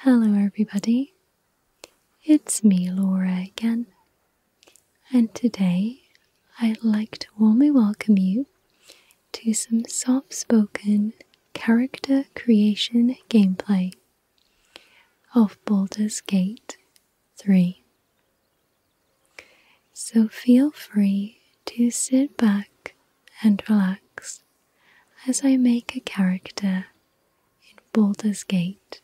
Hello, everybody. It's me, Laura, again, and today I'd like to warmly welcome you to some soft spoken character creation gameplay of Baldur's Gate 3. So feel free to sit back and relax as I make a character in Baldur's Gate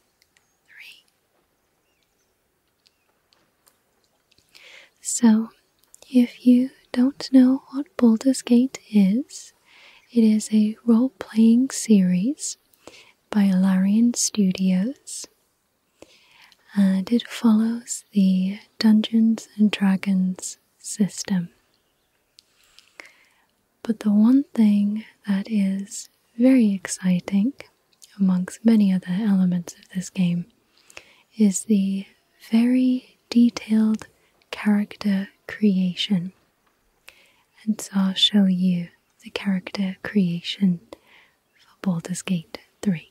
So, if you don't know what Baldur's Gate is, it is a role playing series by Larian Studios and it follows the Dungeons and Dragons system. But the one thing that is very exciting, amongst many other elements of this game, is the very detailed character creation. And so I'll show you the character creation for Baldur's Gate 3.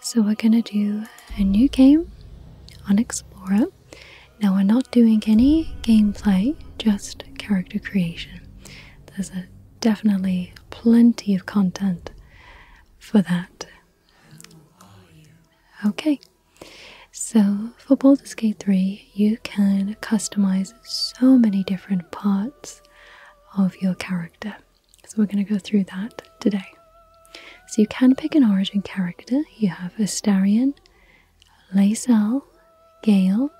So we're going to do a new game on Explorer. Now we're not doing any gameplay, just character creation. There's definitely plenty of content for that. Okay, so for Baldur's Gate 3, you can customize so many different parts of your character. So we're going to go through that today. So you can pick an origin character. You have Astarion, Lazel, Gale,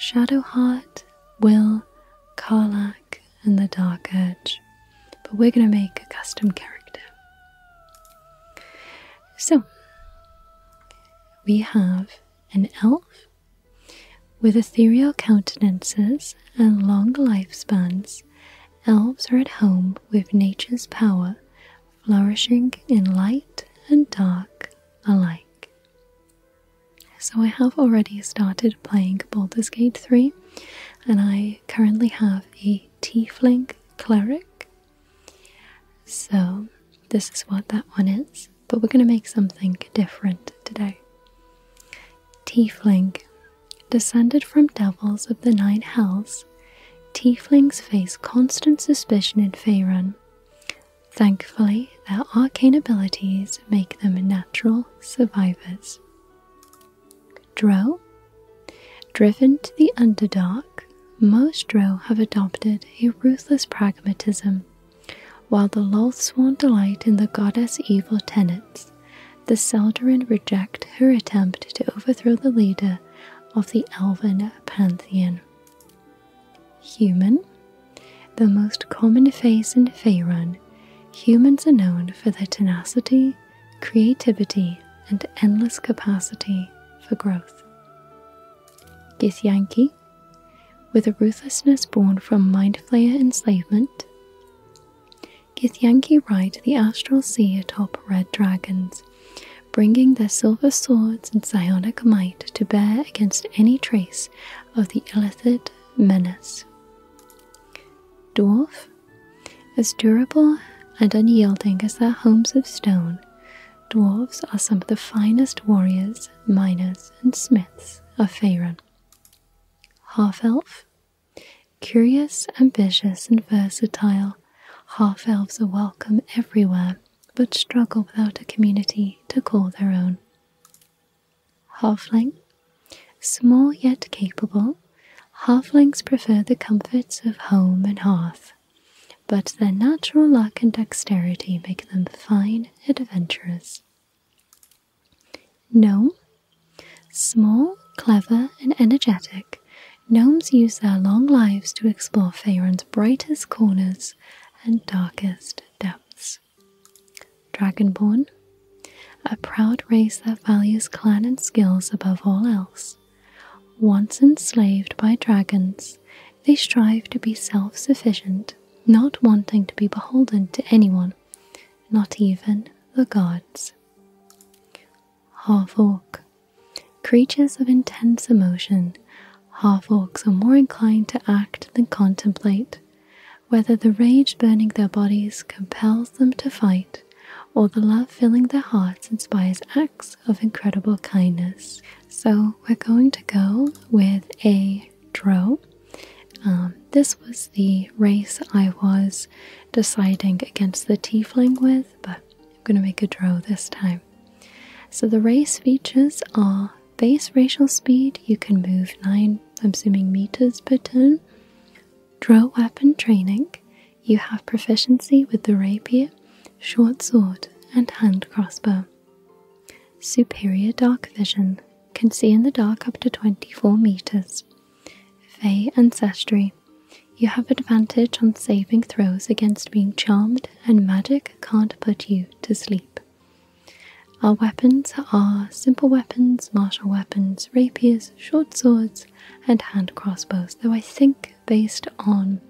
Shadowheart, Will, Karlak, and the Dark Edge. But we're going to make a custom character. So we have an elf with ethereal countenances and long lifespans, elves are at home with nature's power, flourishing in light and dark alike. So, I have already started playing Baldur's Gate 3, and I currently have a Tiefling Cleric. So, this is what that one is but we're going to make something different today. Tiefling. Descended from devils of the nine hells, tieflings face constant suspicion in Faerun. Thankfully, their arcane abilities make them natural survivors. Drow. Driven to the Underdark, most Drow have adopted a ruthless pragmatism while the Loths will delight in the goddess' evil tenets, the Seldarin reject her attempt to overthrow the leader of the Elven pantheon. Human, the most common face in Faerun, humans are known for their tenacity, creativity, and endless capacity for growth. Githyanki, with a ruthlessness born from mind flayer enslavement, Githyanki ride the astral sea atop red dragons, bringing their silver swords and psionic might to bear against any trace of the illithid menace. Dwarf, as durable and unyielding as their homes of stone, dwarves are some of the finest warriors, miners, and smiths of Faerun. Half elf. Curious, ambitious, and versatile, half elves are welcome everywhere but struggle without a community to call their own. Halfling. Small yet capable, halflings prefer the comforts of home and hearth, but their natural luck and dexterity make them fine adventurers. Gnome. Small, clever, and energetic, gnomes use their long lives to explore Faerun's brightest corners and darkest depths. Dragonborn. A proud race that values clan and skills above all else. Once enslaved by dragons, they strive to be self sufficient not wanting to be beholden to anyone, not even the gods. Half orc. Creatures of intense emotion, half orcs are more inclined to act than contemplate, whether the rage burning their bodies compels them to fight, or the love filling their hearts inspires acts of incredible kindness. So, we're going to go with a Draw. Um, this was the race I was deciding against the tiefling with, but I'm going to make a draw this time. So the race features are base racial speed, you can move 9, I'm assuming meters per turn. Drill weapon training, you have proficiency with the rapier, short sword, and hand crossbow. Superior dark vision, can see in the dark up to 24 meters. Fey ancestry. You have advantage on saving throws against being charmed, and magic can't put you to sleep. Our weapons are simple weapons, martial weapons, rapiers, short swords, and hand crossbows. Though I think, based on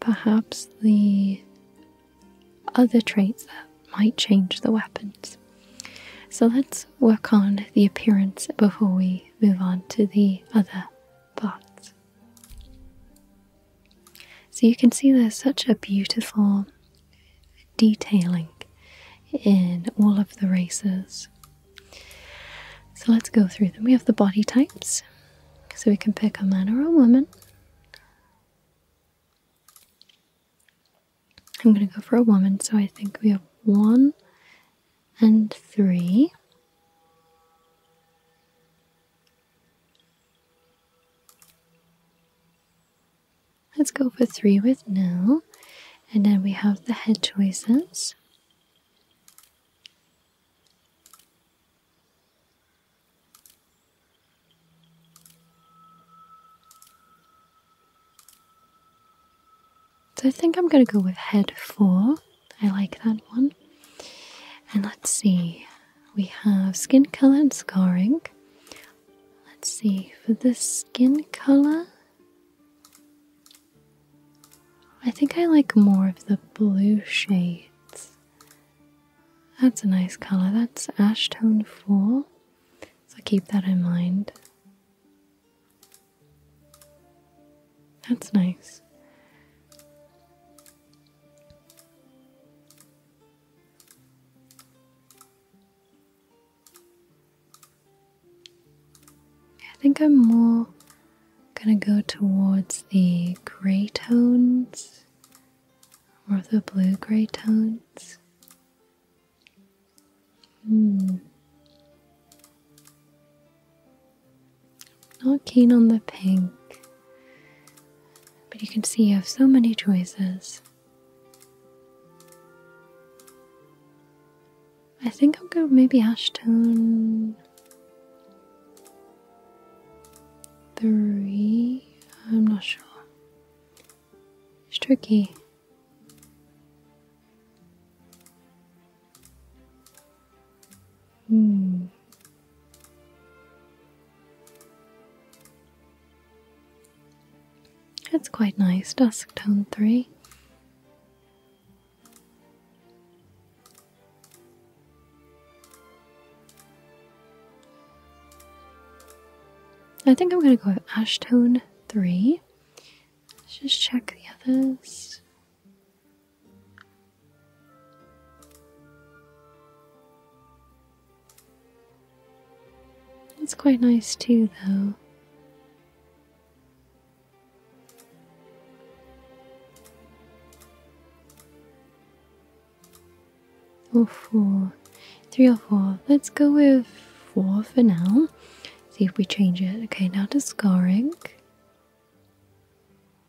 perhaps the other traits that might change the weapons. So let's work on the appearance before we move on to the other parts. So you can see there's such a beautiful detailing in all of the races. So let's go through them. We have the body types, so we can pick a man or a woman. I'm going to go for a woman, so I think we have one and three. Let's go for three with Nell. And then we have the head choices. So I think I'm going to go with head four. I like that one. And let's see, we have skin color and scarring. Let's see, for the skin color, I think I like more of the blue shades. That's a nice color. That's ash tone 4. So keep that in mind. That's nice. I think I'm more going to go towards the grey tones or the blue gray tones. Hmm. Not keen on the pink, but you can see you have so many choices. I think I'll go maybe ash tone three. I'm not sure. It's tricky. Hmm. It's quite nice, dusk tone three. I think I'm gonna go with Ashtone 3. Let's just check the others. That's quite nice too, though or four, three or four. Let's go with four for now. See if we change it. Okay, now to scarring.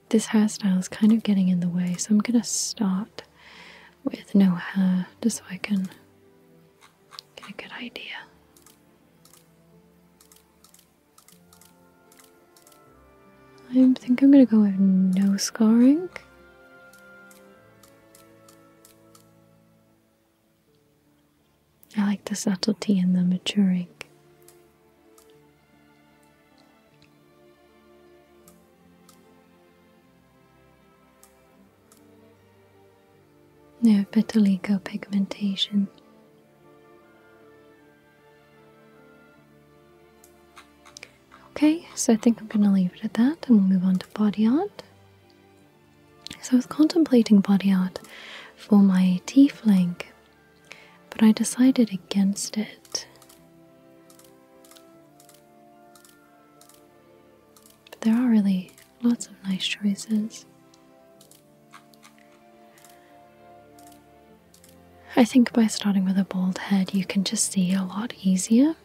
This hairstyle is kind of getting in the way, so I'm gonna start with no hair just so I can get a good idea. I think I'm gonna go with no scarring. I like the subtlety and the maturing. No vitiligo pigmentation. Okay, so I think I'm going to leave it at that and we'll move on to body art. So I was contemplating body art for my T flank, but I decided against it. But there are really lots of nice choices. I think by starting with a bald head, you can just see a lot easier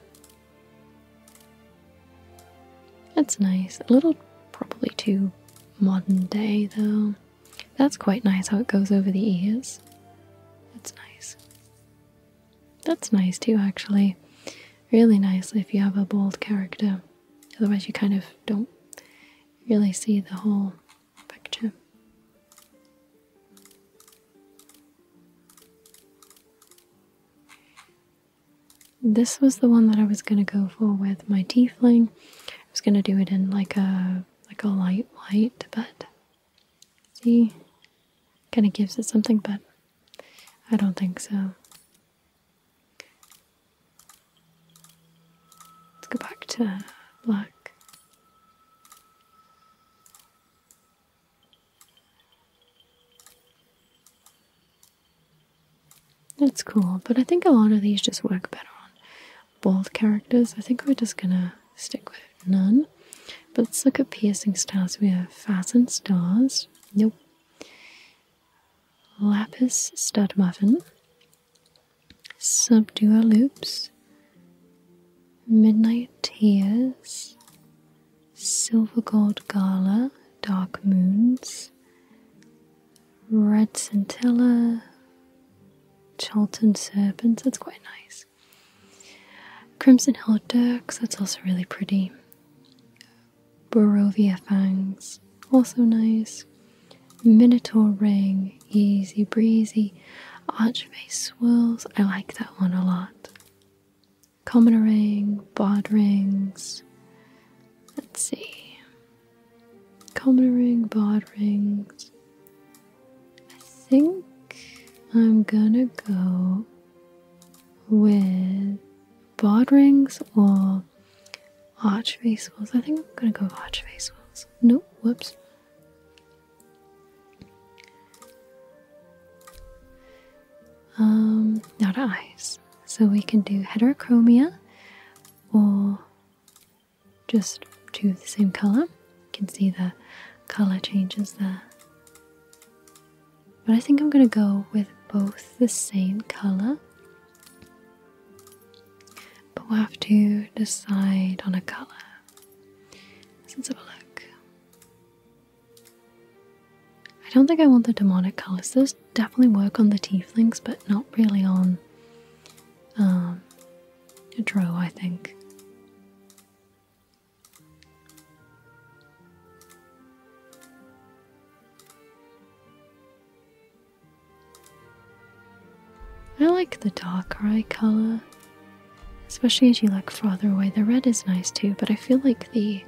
that's nice. A little probably too modern day though. That's quite nice how it goes over the ears. That's nice. That's nice too actually. Really nice if you have a bold character. Otherwise you kind of don't really see the whole picture. This was the one that I was gonna go for with my tiefling. I was gonna do it in like a like a light white, but see, kind of gives it something, but I don't think so. Let's go back to black. That's cool, but I think a lot of these just work better on bold characters. I think we're just gonna stick with none. But let's look at piercing stars. We have fastened stars. Nope. Lapis stud muffin. Subduer loops. Midnight tears. Silver Gold Gala, Dark Moons, Red Centella, Charlton Serpents, that's quite nice. Crimson Hill Dirks, that's also really pretty. Barovia Fangs, also nice. Minotaur Ring, Easy Breezy, Archface Swirls, I like that one a lot. Commoner ring, bod rings. Let's see. Commoner ring, bod rings. I think I'm gonna go with bod rings or arch face I think I'm gonna go with arch face Nope, whoops. Um, not now eyes. So we can do heterochromia or just two of the same color. You can see the color changes there. But I think I'm going to go with both the same color. But we'll have to decide on a color. let's have a look. I don't think I want the demonic colours. Those definitely work on the teeth tieflings, but not really on um, a dro, I think. I like the dark eye colour. Especially as you look farther away. The red is nice too, but I feel like the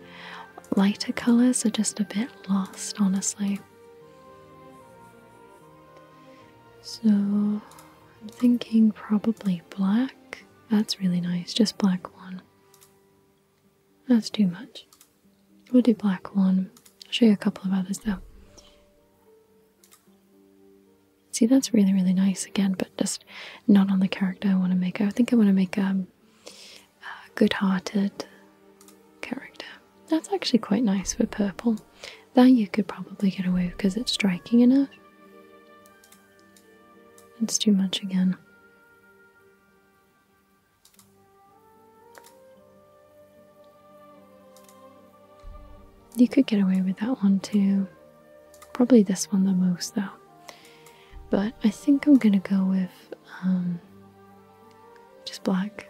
lighter colors are just a bit lost, honestly. So I'm thinking probably black. That's really nice, just black one. That's too much. We'll do black one. I'll show you a couple of others though. See, that's really, really nice again, but just not on the character I want to make. I think I want to make um, a good hearted character. That's actually quite nice for purple. That you could probably get away with because it's striking enough. It's too much again. You could get away with that one too. Probably this one the most though. But I think I'm gonna go with um, just black.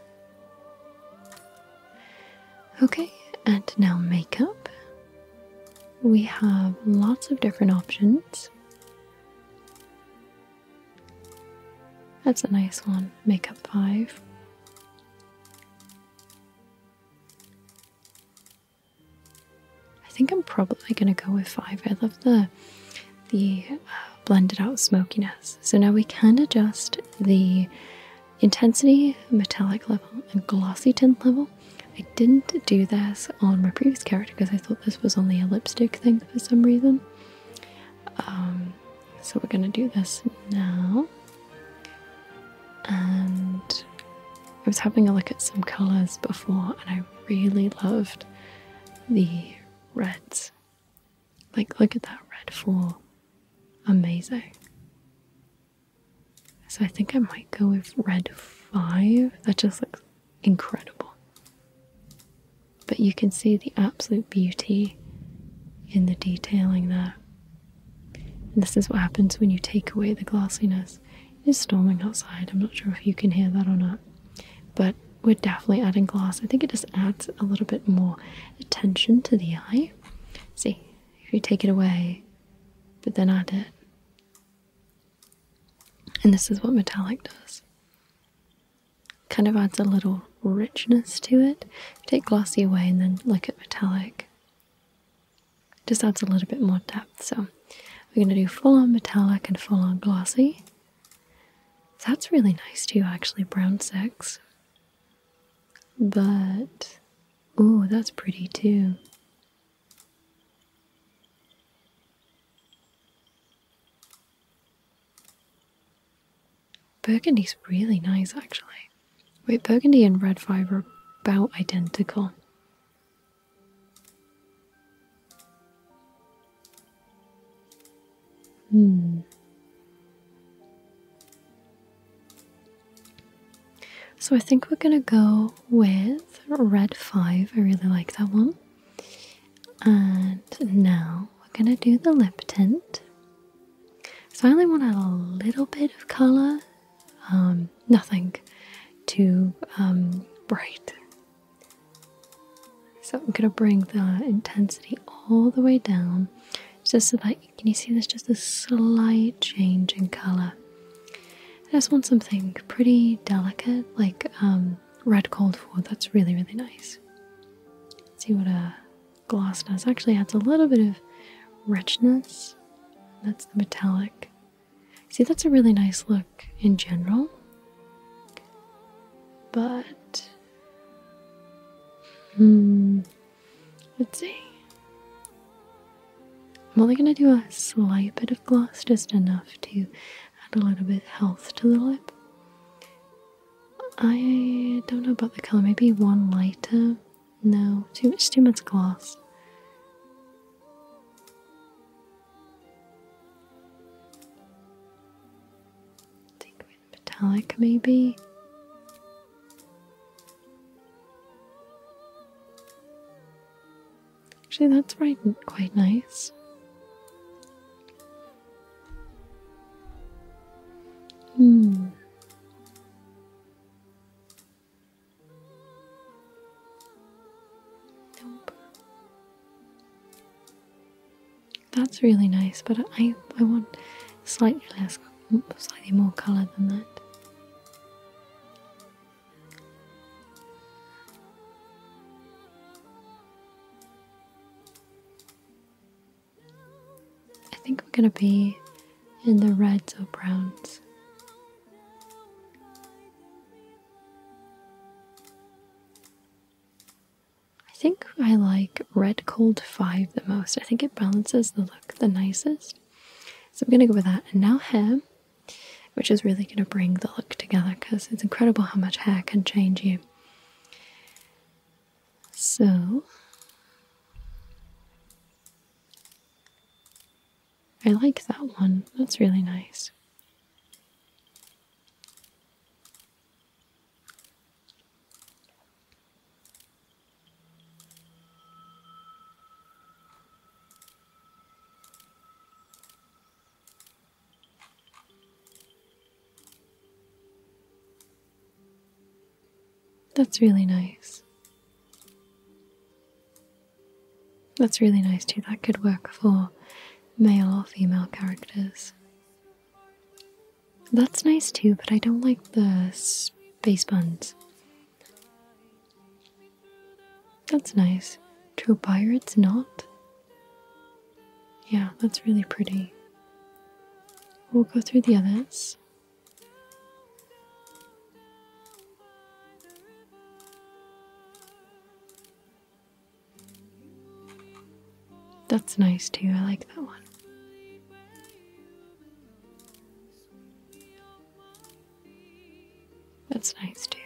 Okay, and now makeup. We have lots of different options. That's a nice one, makeup 5. I think I'm probably going to go with five. I love the the uh, blended out smokiness. So now we can adjust the intensity, metallic level, and glossy tint level. I didn't do this on my previous character because I thought this was only a lipstick thing for some reason. Um, so we're going to do this now and I was having a look at some colors before, and I really loved the reds. Like, look at that red four. Amazing. So I think I might go with red five. That just looks incredible. But you can see the absolute beauty in the detailing there. this is what happens when you take away the glossiness. It is storming outside. I'm not sure if you can hear that or not, but we're definitely adding glass. I think it just adds a little bit more attention to the eye. See, if you take it away, but then add it. And this is what metallic does. Kind of adds a little richness to it. Take glossy away and then look at metallic. Just adds a little bit more depth. So we're going to do full on metallic and full on glossy. That's really nice too, actually, brown sex, But, oh, that's pretty too. Burgundy's really nice, actually. Wait, burgundy and red fibre are about identical. Hmm. So I think we're gonna go with red five. I really like that one. And now we're gonna do the lip tint. So I only want a little bit of color, um, nothing too um, bright. So I'm gonna bring the intensity all the way down, just so that can you see this? just a slight change in color. I just want something pretty delicate, like um, red cold food. That's really really nice. see what a gloss does. Actually adds a little bit of richness. That's the metallic. See, that's a really nice look in general, but hmm, let's see. I'm only going to do a slight bit of gloss, just enough to add a little bit of health to the lip. I don't know about the color, maybe one lighter no, too much, too much gloss. Take metallic, maybe. Actually, that's right, quite nice. Hmm. Nope. That's really nice, but I I want slightly less, slightly more colour than that. I think we're gonna be and the reds or browns. I think I like red cold 5 the most. I think it balances the look the nicest. So I'm going to go with that. And now hair, which is really going to bring the look together because it's incredible how much hair can change you. So I like that one. That's really nice. That's really nice. That's really nice too. That could work for male or female characters. That's nice too, but I don't like the space buns. That's nice. True buyer, it's not. Yeah, that's really pretty. We'll go through the others. That's nice too. I like that one. That's nice too.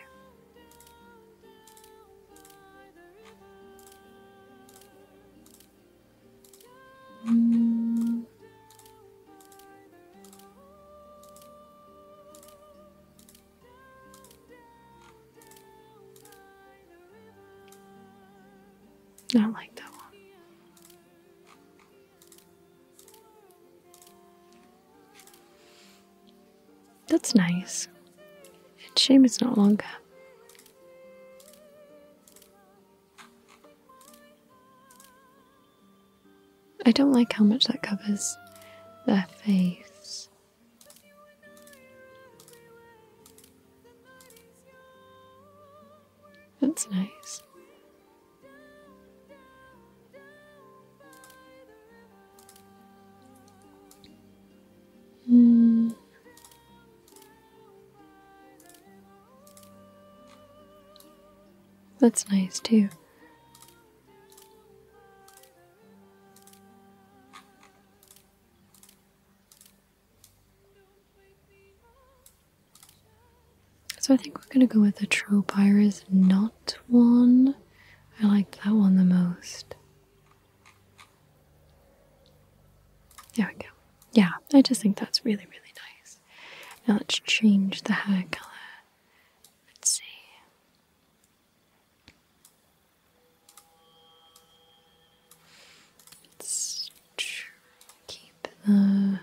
Not like that one. That's nice. It's shame it's not longer. I don't like how much that covers their face. That's nice. Mm. That's nice too. So I think we're gonna go with the Tropyrus Knot one. I like that one the most. There we go. Yeah, I just think that's really, really nice. Now let's change the hair color Let's see. Let's keep the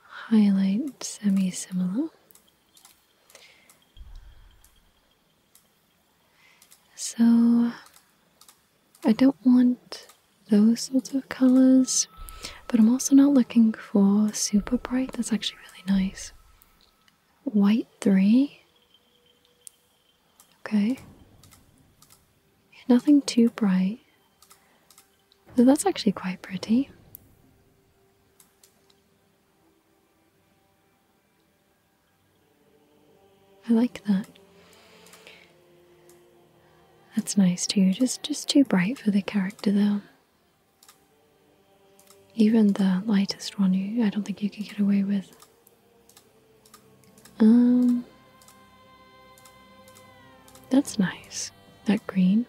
highlight semi similar. So I don't want those sorts of colors but I'm also not looking for super bright. That's actually really nice. White three. Okay. Nothing too bright. So that's actually quite pretty. I like that. That's nice too. Just just too bright for the character though. Even the lightest one, you, I don't think you could get away with. Um, that's nice. That green.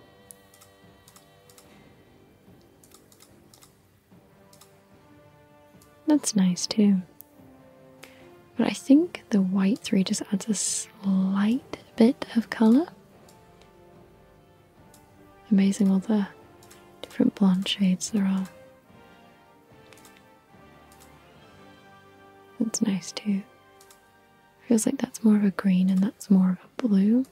That's nice too. But I think the white three just adds a slight bit of color. Amazing all the different blonde shades there are. That's nice too. Feels like that's more of a green and that's more of a blue.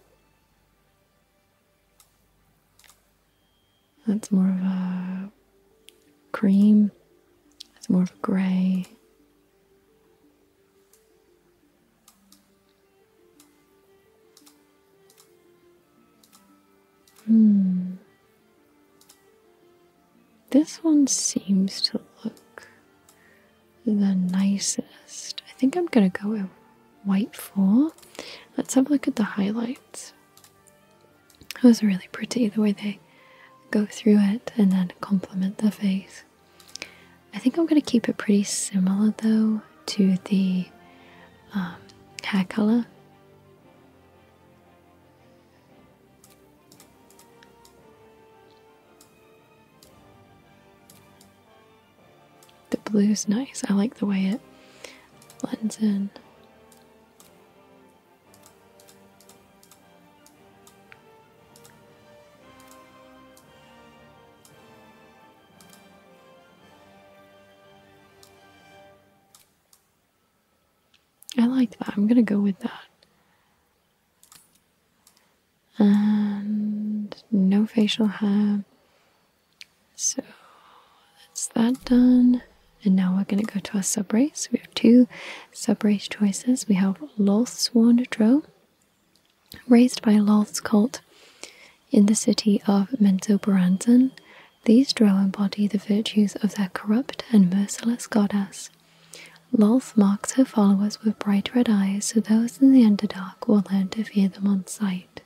That's more of a cream. That's more of a grey. Hmm. This one seems to look the nicest. I think I'm gonna go with white four. Let's have a look at the highlights. Those are really pretty the way they go through it and then complement the face. I think I'm going to keep it pretty similar though to the um, hair color. The blue's nice. I like the way it blends in. I like that. I'm going to go with that. And no facial hair. So that's that done. And now we're going to go to our sub race. We have two sub race choices. We have Lothsworn Drow Raised by Lolth's cult in the city of Menzoberranzan, these drow embody the virtues of their corrupt and merciless goddess. Lolth marks her followers with bright red eyes so those in the Underdark will learn to fear them on sight.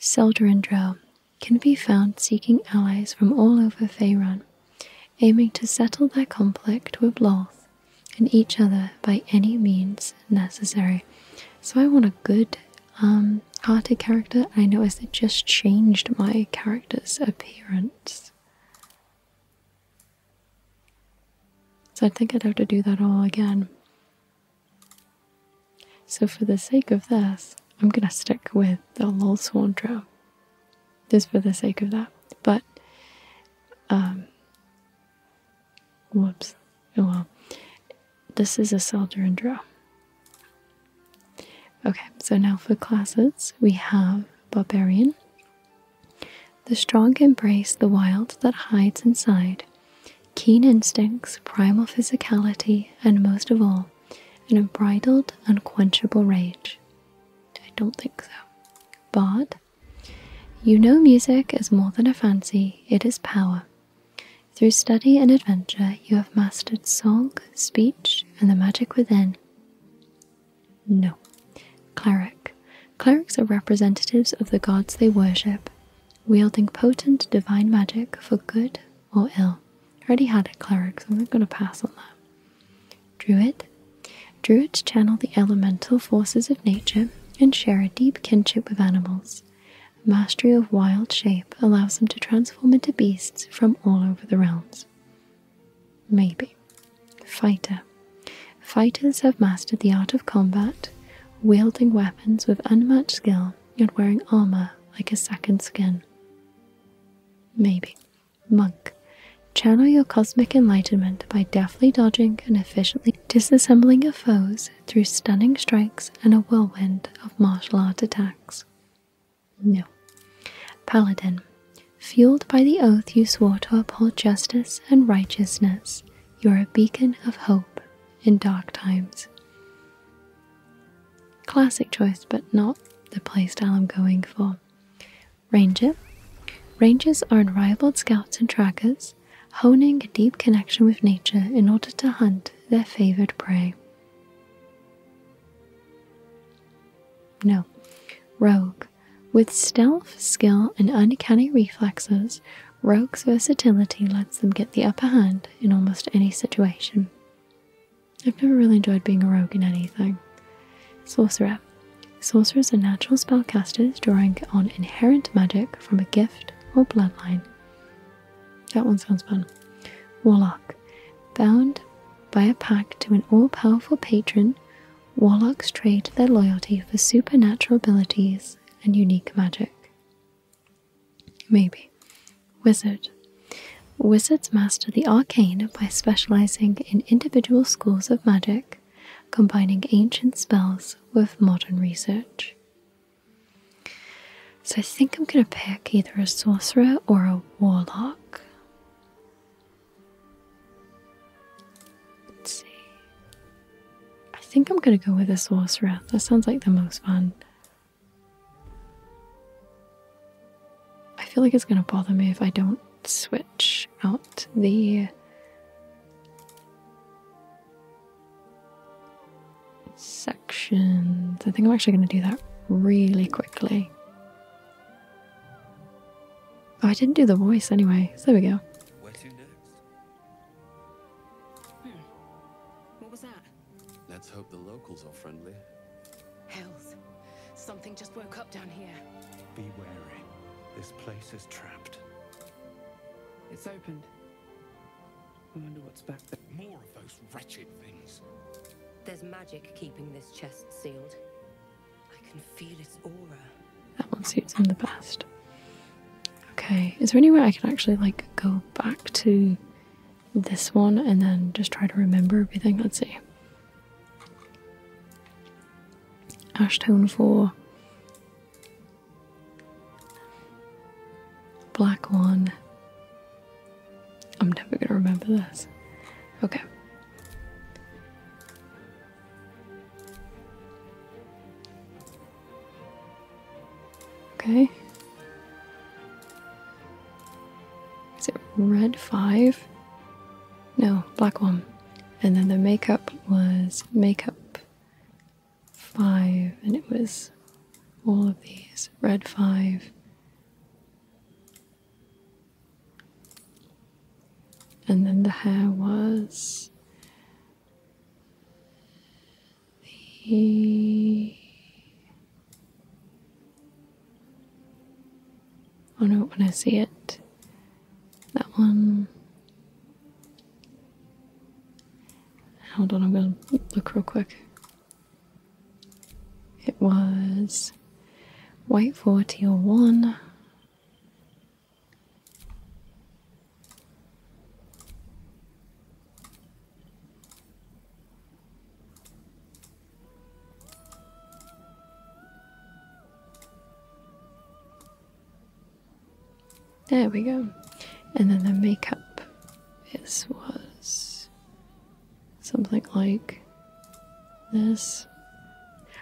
Seldurin drow can be found seeking allies from all over Faerun aiming to settle their conflict with Loth and each other by any means necessary. So I want a good um, hearted character. I noticed it just changed my character's appearance. So I think I'd have to do that all again. So for the sake of this, I'm gonna stick with the Lulz Horndra just for the sake of that. But, um, whoops. Oh well. This is a solder and draw. Okay, so now for classes, we have Barbarian. The strong embrace the wild that hides inside, keen instincts, primal physicality, and most of all, an unbridled, unquenchable rage. I don't think so. But you know, music is more than a fancy, it is power. Through study and adventure, you have mastered song, speech, and the magic within. No. Cleric. Clerics are representatives of the gods they worship, wielding potent divine magic for good or ill. already had a cleric, so I'm not going to pass on that. Druid. Druids channel the elemental forces of nature and share a deep kinship with animals. Mastery of wild shape allows them to transform into beasts from all over the realms. Maybe. Fighter. Fighters have mastered the art of combat, wielding weapons with unmatched skill yet wearing armor like a second skin. Maybe. Monk. Channel your cosmic enlightenment by deftly dodging and efficiently disassembling your foes through stunning strikes and a whirlwind of martial art attacks. No. Paladin. Fueled by the oath you swore to uphold justice and righteousness, you are a beacon of hope in dark times. Classic choice, but not the playstyle I'm going for. Ranger. Rangers are unrivaled scouts and trackers, honing a deep connection with nature in order to hunt their favored prey. No. Rogue. With stealth, skill, and uncanny reflexes, Rogue's versatility lets them get the upper hand in almost any situation. I've never really enjoyed being a rogue in anything. Sorcerer. Sorcerers are natural spellcasters drawing on inherent magic from a gift or bloodline. That one sounds fun. Warlock. Bound by a pact to an all powerful patron, warlocks trade their loyalty for supernatural abilities and unique magic. Maybe. Wizard. Wizards master the arcane by specializing in individual schools of magic, combining ancient spells with modern research. So I think I'm going to pick either a sorcerer or a warlock. Let's see. I think I'm going to go with a sorcerer. That sounds like the most fun. I feel like it's going to bother me if I don't switch out the sections. I think I'm actually going to do that really quickly. Oh, I didn't do the voice anyway, so there we go. Hmm. Let's hope the locals are friendly. Hells. Something just woke up down here. Be wary. This place is trapped. It's opened. I wonder what's back there. More of those wretched things. There's magic keeping this chest sealed. I can feel its aura. That one suits me the best. Okay, is there any way I can actually like go back to this one and then just try to remember everything? Let's see. Ash tone 4, Black One. I'm never going to remember this. Okay. Okay. Is it red five? No, black one. And then the makeup was makeup five, and it was all of these red five. And then the hair was the I Oh no, when I see it, that one. Hold on, I'm gonna look real quick. It was white for teal one. There we go. And then the makeup This was something like this.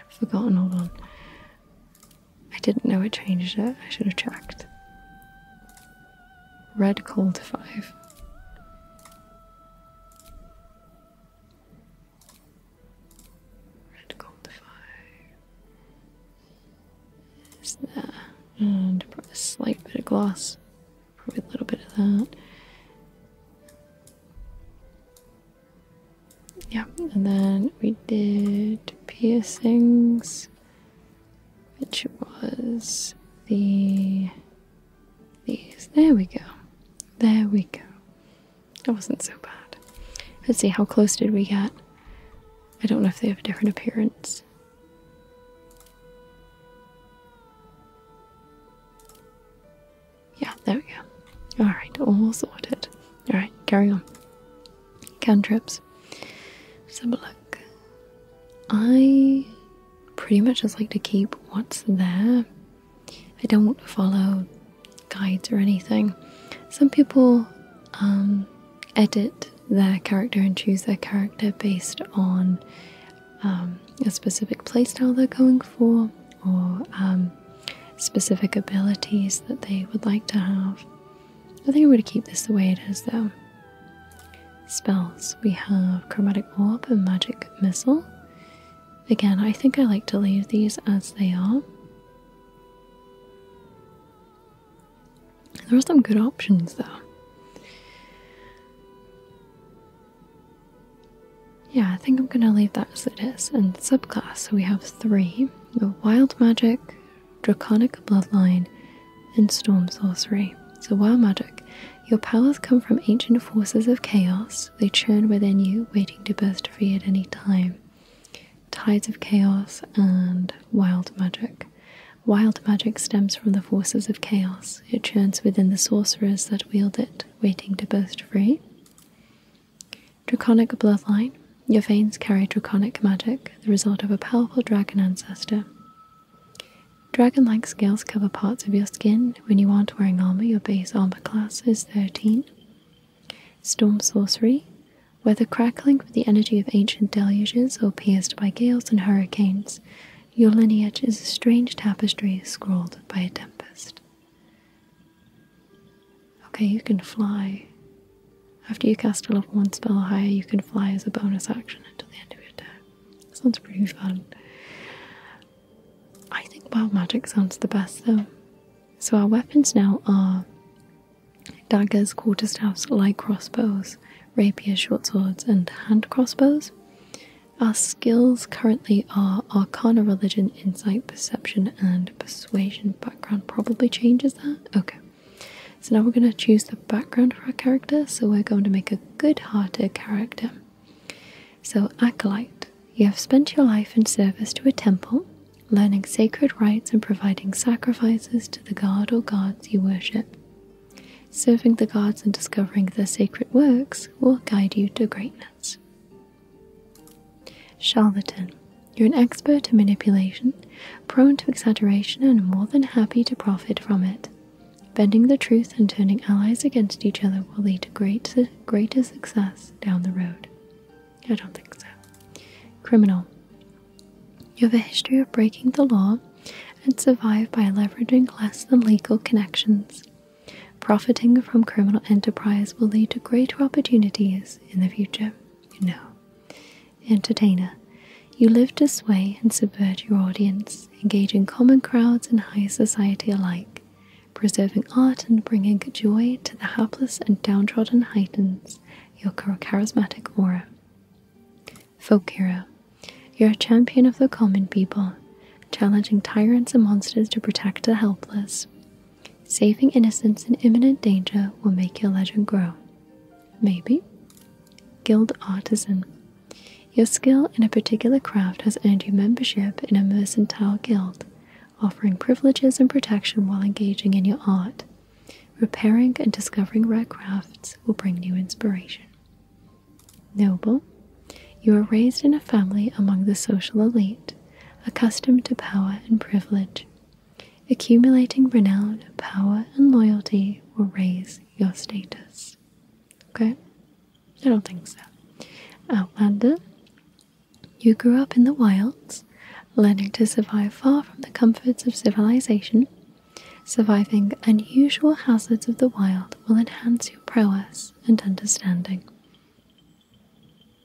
I've forgotten, hold on. I didn't know it changed it. I should have checked. Red cold five. Red gold fire. Is And a slight bit of gloss. Probably a little bit of that. Yeah, and then we did piercings, which was the these. There we go. There we go. That wasn't so bad. Let's see, how close did we get? I don't know if they have a different appearance. Yeah, there we go. Alright, all sorted. Alright, carry on. Cantrips. Let's have a look. I pretty much just like to keep what's there. I don't follow guides or anything. Some people um, edit their character and choose their character based on um, a specific playstyle they're going for or um, specific abilities that they would like to have. I think I'm going to keep this the way it is though. Spells we have Chromatic Orb and Magic Missile. Again, I think I like to leave these as they are. There are some good options though. Yeah, I think I'm going to leave that as it is. And subclass, so we have three the Wild Magic, Draconic Bloodline, and Storm Sorcery. So, Wild Magic. Your powers come from ancient forces of chaos. They churn within you, waiting to burst free at any time. Tides of Chaos and Wild Magic. Wild magic stems from the forces of chaos. It churns within the sorcerers that wield it, waiting to burst free. Draconic bloodline. Your veins carry draconic magic, the result of a powerful dragon ancestor. Dragon like scales cover parts of your skin, when you aren't wearing armor, your base armor class is 13. Storm Sorcery. Whether crackling with the energy of ancient deluges or pierced by gales and hurricanes, your lineage is a strange tapestry scrawled by a tempest. Okay, you can fly. After you cast a level 1 spell higher, you can fly as a bonus action until the end of your turn. Sounds pretty fun. I think wild magic sounds the best though. So our weapons now are daggers, quarterstaffs, light crossbows, rapier, short swords, and hand crossbows. Our skills currently are Arcana, Religion, Insight, Perception, and Persuasion. Background probably changes that. Okay. So now we're going to choose the background for our character. So we're going to make a good-hearted character. So, acolyte, you have spent your life in service to a temple, learning sacred rites and providing sacrifices to the god or gods you worship. Serving the gods and discovering their sacred works will guide you to greatness. Charlatan, you're an expert in manipulation, prone to exaggeration, and more than happy to profit from it. Bending the truth and turning allies against each other will lead to great to success down the road. I don't think so. Criminal. You have a history of breaking the law and survive by leveraging less than legal connections. Profiting from criminal enterprise will lead to greater opportunities in the future. No. Entertainer. You live to sway and subvert your audience, engaging common crowds and high society alike preserving art and bringing joy to the hapless and downtrodden heightens your charismatic aura. Folk hero, you're a champion of the common people, challenging tyrants and monsters to protect the helpless. Saving innocents in imminent danger will make your legend grow. Maybe. Guild Artisan. Your skill in a particular craft has earned you membership in a mercantile guild offering privileges and protection while engaging in your art. Repairing and discovering rare crafts will bring new inspiration. Noble, you are raised in a family among the social elite, accustomed to power and privilege. Accumulating renown, power, and loyalty will raise your status. Okay? I don't think so. Outlander, uh, you grew up in the wilds, learning to survive far from the comforts of civilization. Surviving unusual hazards of the wild will enhance your prowess and understanding.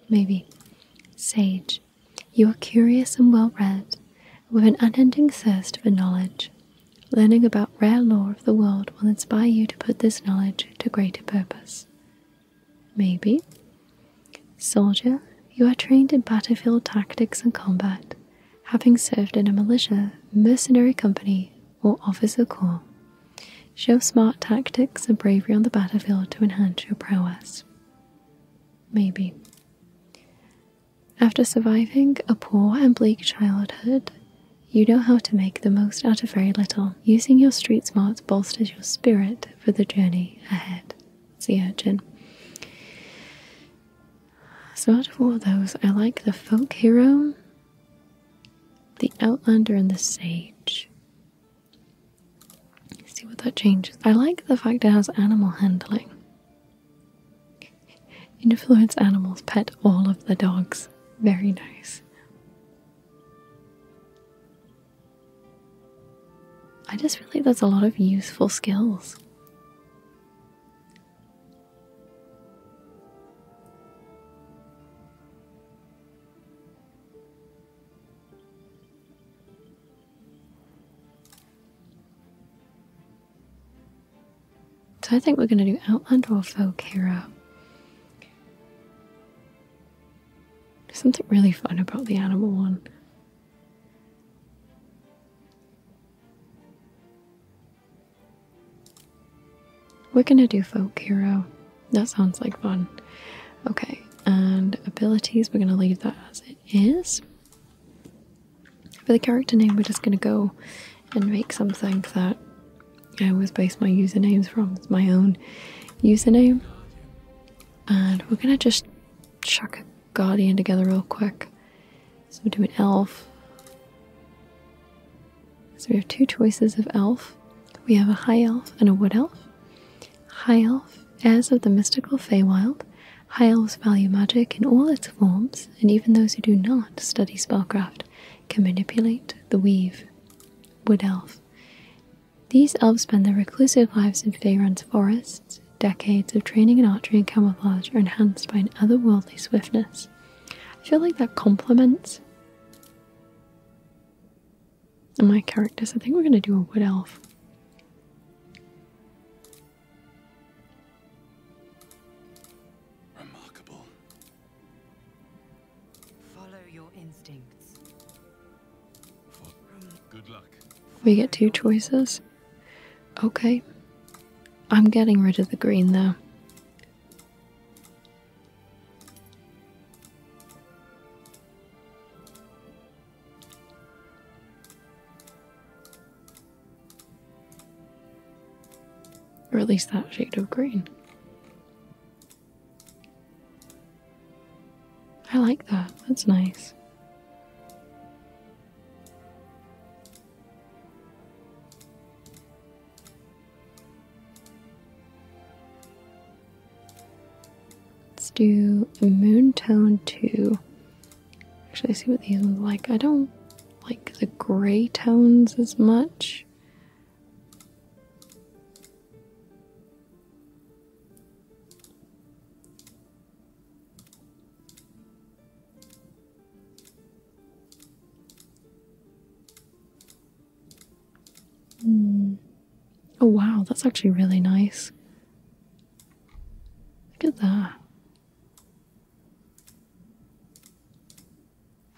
Maybe. Sage, you are curious and well read, with an unending thirst for knowledge. Learning about rare lore of the world will inspire you to put this knowledge to greater purpose. Maybe. Soldier, you are trained in battlefield tactics and combat, having served in a militia, mercenary company, or officer corps. Show smart tactics and bravery on the battlefield to enhance your prowess. Maybe. After surviving a poor and bleak childhood, you know how to make the most out of very little. Using your street smarts bolsters your spirit for the journey ahead. Sea urchin. So, out of all those, I like the folk hero, the outlander, and the sage. see what that changes. I like the fact it has animal handling. Influence animals, pet all of the dogs. Very nice. I just feel like there's a lot of useful skills. So I think we're going to do Outland or Volcera. There's something really fun about the animal one. We're gonna do folk hero. That sounds like fun. Okay, and abilities, we're gonna leave that as it is. For the character name, we're just gonna go and make something that I always base my usernames from. my own username. And we're gonna just chuck a guardian together real quick. So we do an elf. So we have two choices of elf. We have a high elf and a wood elf. High elf, as of the mystical Feywild. High elves value magic in all its forms, and even those who do not study spellcraft can manipulate the weave wood elf. These elves spend their reclusive lives in Faerun's forests. Decades of training in archery and camouflage are enhanced by an otherworldly swiftness. I feel like that complements my characters. I think we're going to do a wood elf. Remarkable. Follow your instincts. We get two choices. Okay. I'm getting rid of the green though. Or at least that shade of green. I like that. That's nice. Let's do a moon tone too. Actually, I see what these look like. I don't like the gray tones as much. Mm. Oh, wow, that's actually really nice. Look at that.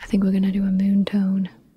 I think we're going to do a moon tone.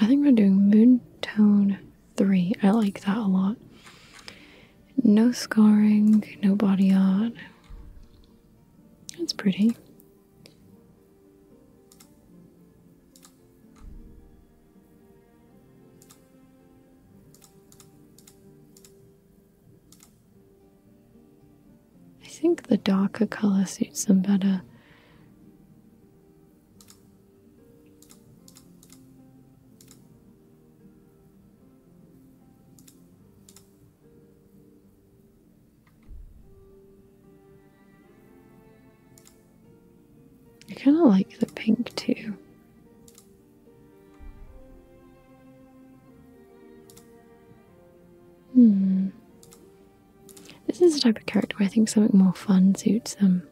I think we're doing Moon Tone 3. I like that a lot. No scarring, no body art. That's pretty. I think the darker color suits them better. I kind of like the pink too. Hmm. This is the type of character where I think something more fun suits them.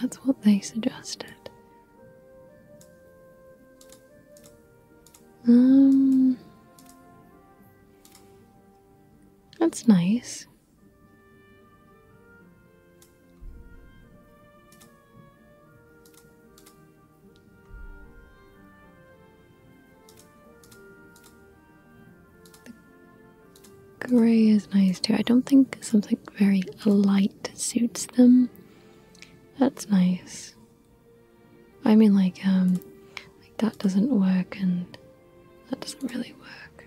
That's what they suggested. Um, that's nice gray is nice too. I don't think something very light suits them. That's nice. I mean, like, um, like that doesn't work, and that doesn't really work.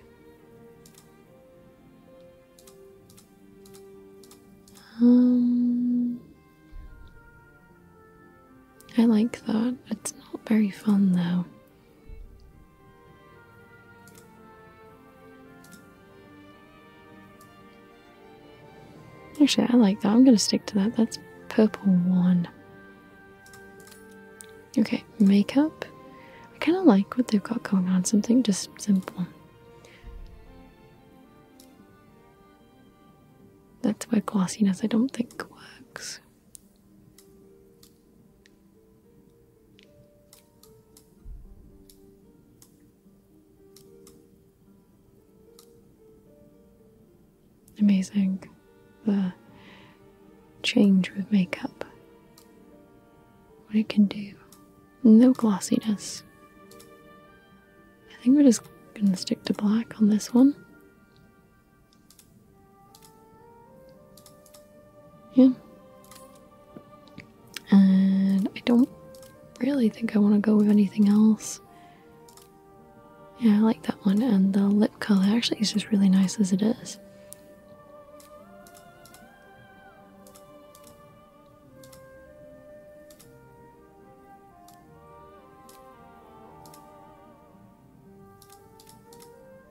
Um, I like that. It's not very fun though. Actually, I like that. I'm going to stick to that. That's purple one. Okay, makeup. I kind of like what they've got going on. Something just simple. That's where glossiness I don't think works. Amazing the change with makeup. What it can do. No glossiness. I think we're just going to stick to black on this one. Yeah. And I don't really think I want to go with anything else. Yeah, I like that one. And the lip colour actually is just really nice as it is.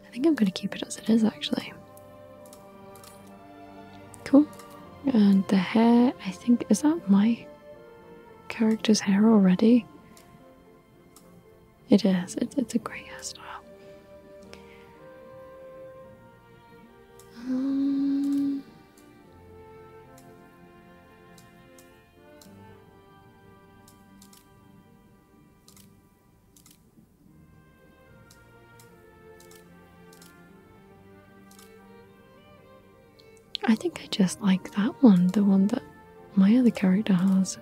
I think I'm going to keep it as it is actually. Cool. And the hair, I think, is that my character's hair already? It is. It's, it's a great hairstyle. Um, I think I just like that one, the one that my other character has.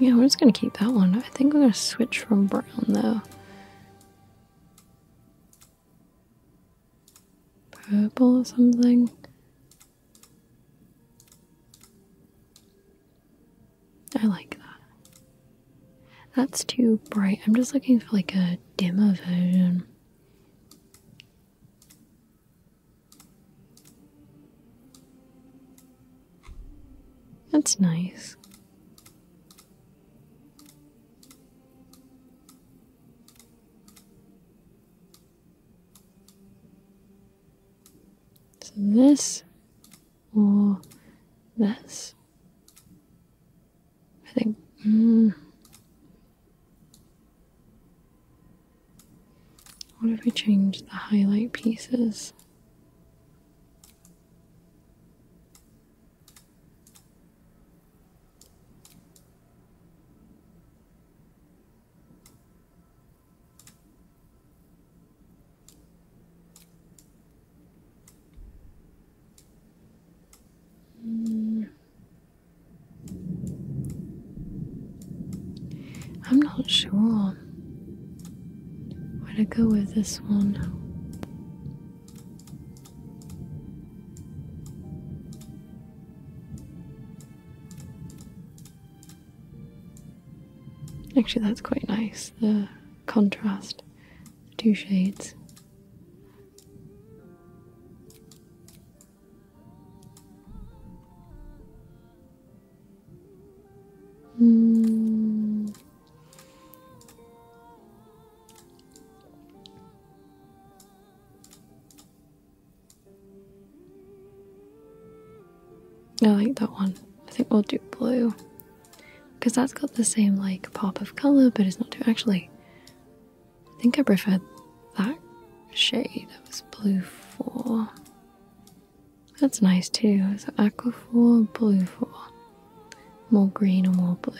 Yeah, we're just gonna keep that one. I think we're gonna switch from brown though. Purple or something. I like that. That's too bright. I'm just looking for like a dimmer version. That's nice. So this or this. I think. Hmm. what if we change the highlight pieces? I'm not sure where to go with this one. Actually, that's quite nice the contrast, the two shades. Mm. I like that one. I think we'll do blue because that's got the same like pop of color, but it's not too actually. I think I prefer that shade. That was blue four. That's nice too. So aqua four, blue four, more green or more blue.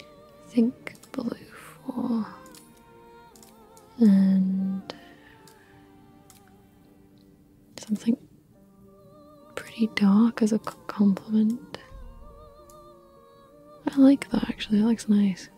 I think blue four and something Pretty dark as a compliment. I like that actually, it looks nice.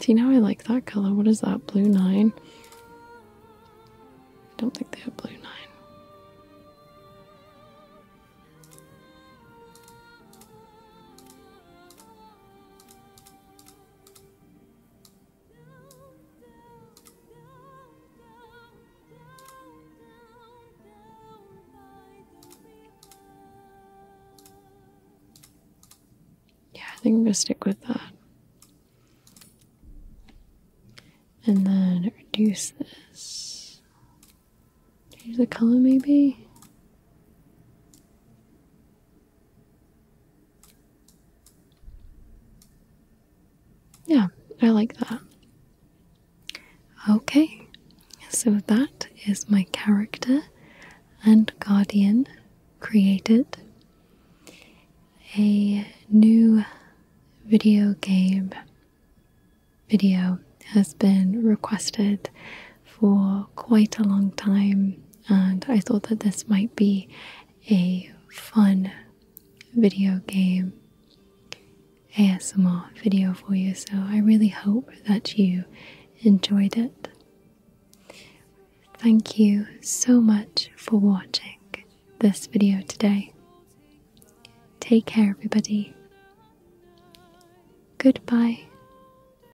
See now I like that color. What is that? Blue nine? I don't think they have blue nine. Yeah, I think I'm gonna stick with that. And then reduce this. Change the color maybe? Yeah, I like that. Okay, so that is my character and guardian created. A new video game video has been requested for quite a long time, and I thought that this might be a fun video game ASMR video for you. So I really hope that you enjoyed it. Thank you so much for watching this video today. Take care, everybody. Goodbye.